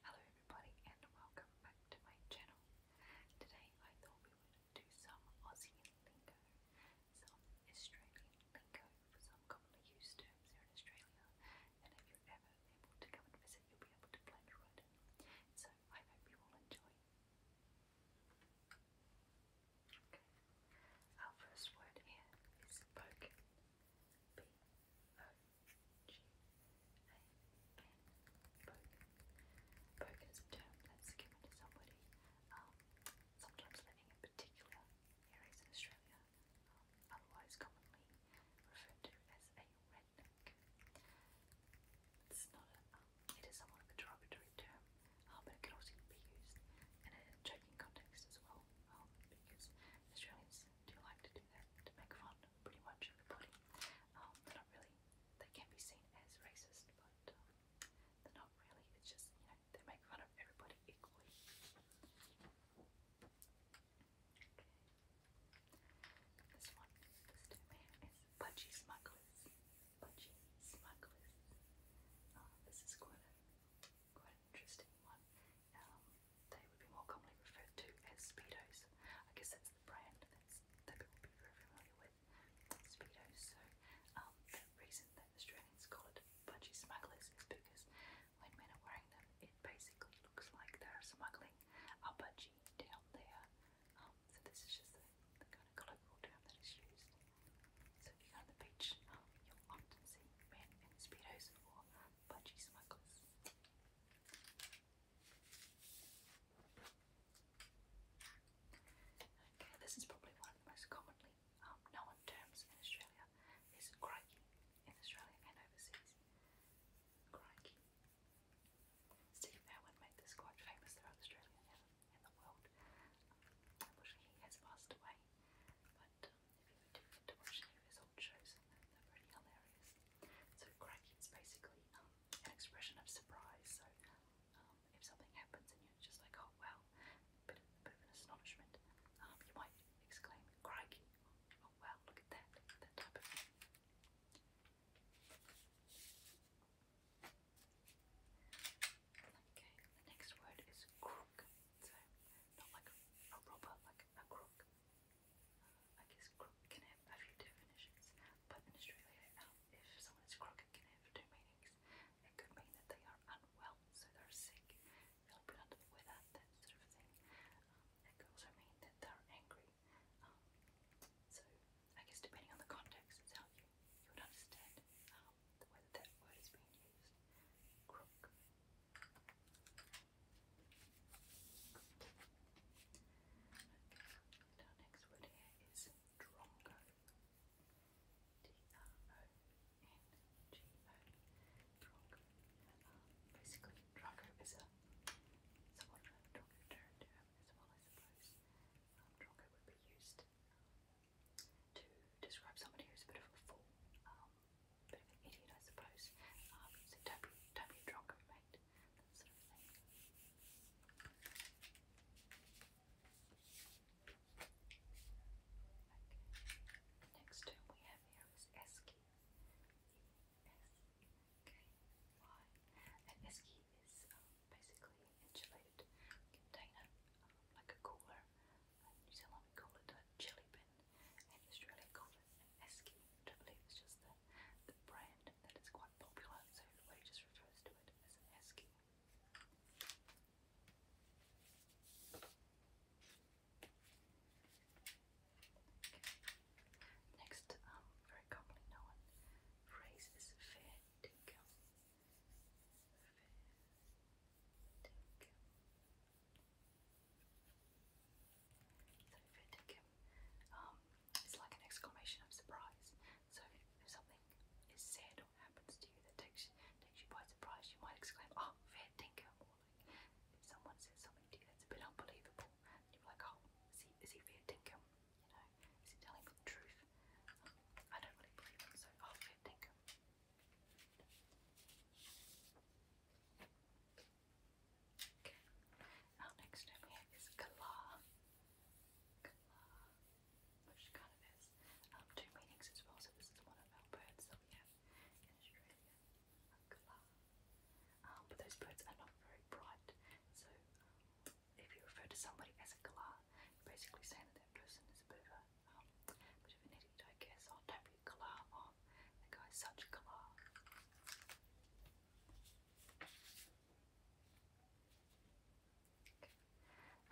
Hello everybody and welcome back to my channel. Today I thought we would do some Aussie lingo, some Australian lingo for some commonly used terms here in Australia and if you're ever able to come and visit you'll be able to blend right in. So I hope you all enjoy. Our first word here is poke. Broken is a term that's given to somebody, sometimes living in particular areas in Australia, otherwise commonly referred to as a redneck. It's not a, um, it is somewhat of a derogatory term, um, but it can also be used in a joking context as well, um, because Australians do like to do that to make fun pretty much everybody. Um, they're not really, they can be seen as racist, but um, they're not really. It's just, you know, they make fun of everybody equally. This one, this two man is Smugglers. Budgie Smugglers. Uh, this is quite quite interesting one. Um, they would be more commonly referred to as Speedos. I guess that's the brand that people would be very familiar with, Speedos. So um, the reason that Australians call it budgie smugglers is because when men are wearing them, it basically looks like they're smuggling a budgie down there. Um, so this is just the kind of colloquial term that is used. So if you go on the beach, you'll often see men in speedos or budgie smugglers. Okay, this is probably one of the most commonly um, known terms in Australia is crikey in Australia and overseas. Crikey. Steve Irwin made this quite famous throughout Australia and, and the world. Unfortunately, he has passed away, but if you do get to watch his old shows, they're, pretty hilarious. So cracking's basically um, an expression of surprise. So um, if something happens and you're just like, oh wow, bit of, bit of astonishment, um, you might exclaim, crikey, oh wow, look at that, that type of Okay, the next word is crook. So, not like a, robber, like a crook. Uh, I guess crook can have a few definitions, but in Australia, um, if someone is crook, it can have two meanings. It could mean that they are unwell, so they're sick, they'll put under that sort of thing. Um, it could also mean that they're angry. Um, so, I guess depending on the context, it's how you you would understand the way that, word is being used. Crook. Okay, our next word here is drongo. D-R-O-N-G-O. basically, drongo is a somewhat of a derived term as I suppose. Um, drongo would be used to describe somebody who's a bit of a fool, a um, bit of an idiot, I suppose. Um, so don't be, don't be drunk, mate, Next term we have here is esky. And esky is um, basically insulated container, um, like a cooler. New Zealand call it a chili bin, in Australia call it an esky, which I believe is just the, the brand that is quite popular, so everybody just refers to it as an esky. Next, um, very commonly known phrase is fair Tinkle. So if it um, it's like an exclamation of surprise. So if, something is said or happens to you that takes takes you by surprise, you might exclaim, "Oh, fair dinkum!" someone says something to you that's a bit unbelievable, you're like, "Oh, is he is he fair dinkum?" You know, is he telling the truth? I don't really believe him, so I'll think him. Okay. Now next up here is Kalar. Which kind of is um, two meanings as well, so this is one of our birds that we have in Australia um, but those birds are not very bright. So if you refer to somebody as a galah, you're basically saying that that person is a bit of a, um, bit of an idiot, I guess. I'll tap your galah on. That guy's such a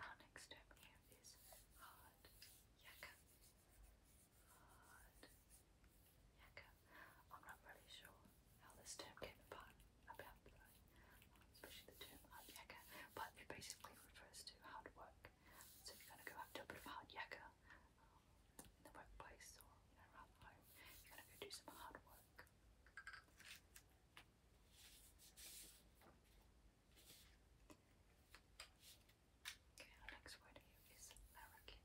Our next term here is hard yakka. Yakka. I'm not really sure how this term came about, about but I, the term hard yakka, but it basically refers to hard work. So if you're going to go out a bit of hard yakka um, in the workplace or around home, you're going to go do some hard work. Okay, our next word here is larrikin.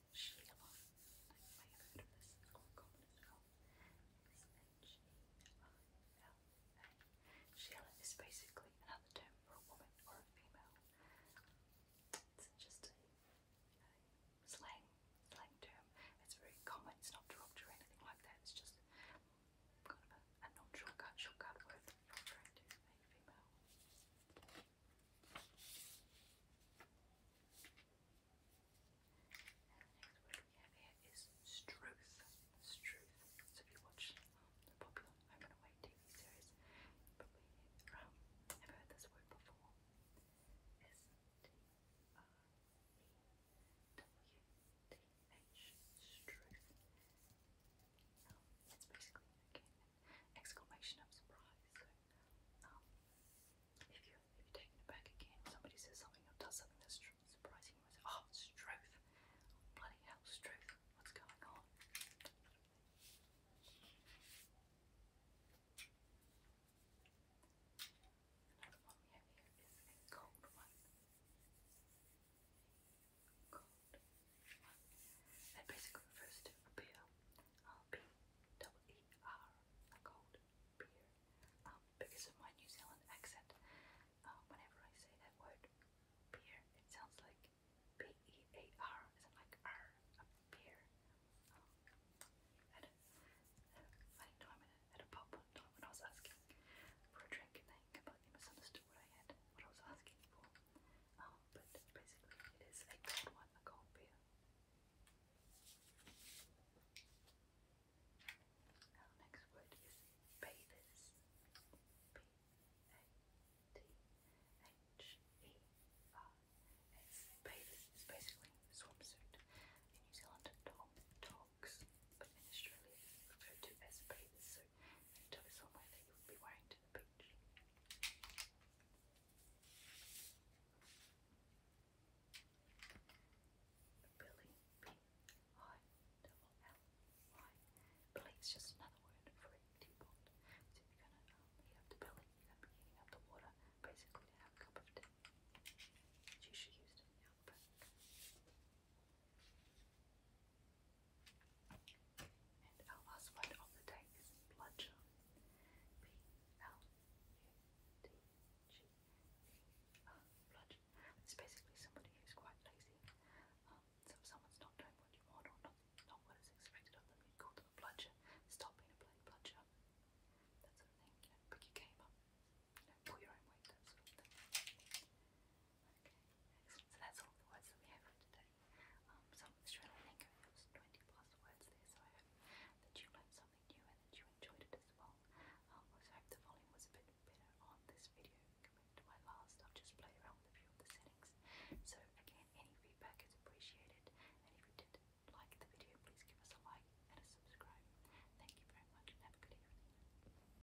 Sheila. I might have heard this, quite common as well. It's is basically another term for a woman or a female. It's just a, slang, slang term. It's very common, it's not derogatory or anything like that, it's just kind of a, a non shortcut, word for a female have here is Struth. Struth. So if you watch the popular Home and TV series, you heard this word before. S-T-R-E-W-T-H. Struth. it's basically, again, exclamation of surprise. if you um, if you're taken aback again, somebody says something or does something that's surprising you, and say, oh, Bloody hell, Struth! What's going on? It basically refers to a beer. Uh, cold beer. Um, because of my New Zealand accent, uh, whenever I say that word beer, it sounds like B E A R, isn't like R, a beer. Um, at, a, at a funny time at a, a pub one when I was asking for a drink and they completely misunderstood what I had, what I was asking for. Um, but basically, it is a cold one, a cold beer. Our next word is bathers. B A T H E R S. Bathers is basically swimsuit. In New Zealand, Tom talks, but in referred to as bathers so a tie somewhere that you just another word for a teapot. So you're going to um, the billy, you're going to be heating up the water basically to have a cup of tea. It's usually used in and our last word of the day is bludgeon. B L U D G E R. Bludgeon. It's basically somebody who's quite lazy. Um, so someone's not doing what you want or not, not what is expected of them, you call them a bludgeon. Stop being a bludgeon. That sort of thing. You know, pick your game up. You know, pull your own weight. Okay, So that's all the words that we have for today. Um, some Australian lingo, there was 20 plus words there, so I hope that you learned something new and that you enjoyed it as well. Um, I hope the volume was a bit better on this video compared to my I've just played around with a few of the settings. So again, any feedback is appreciated. And if you did like the video, please give us a like and a subscribe. Thank you very much and have a good evening.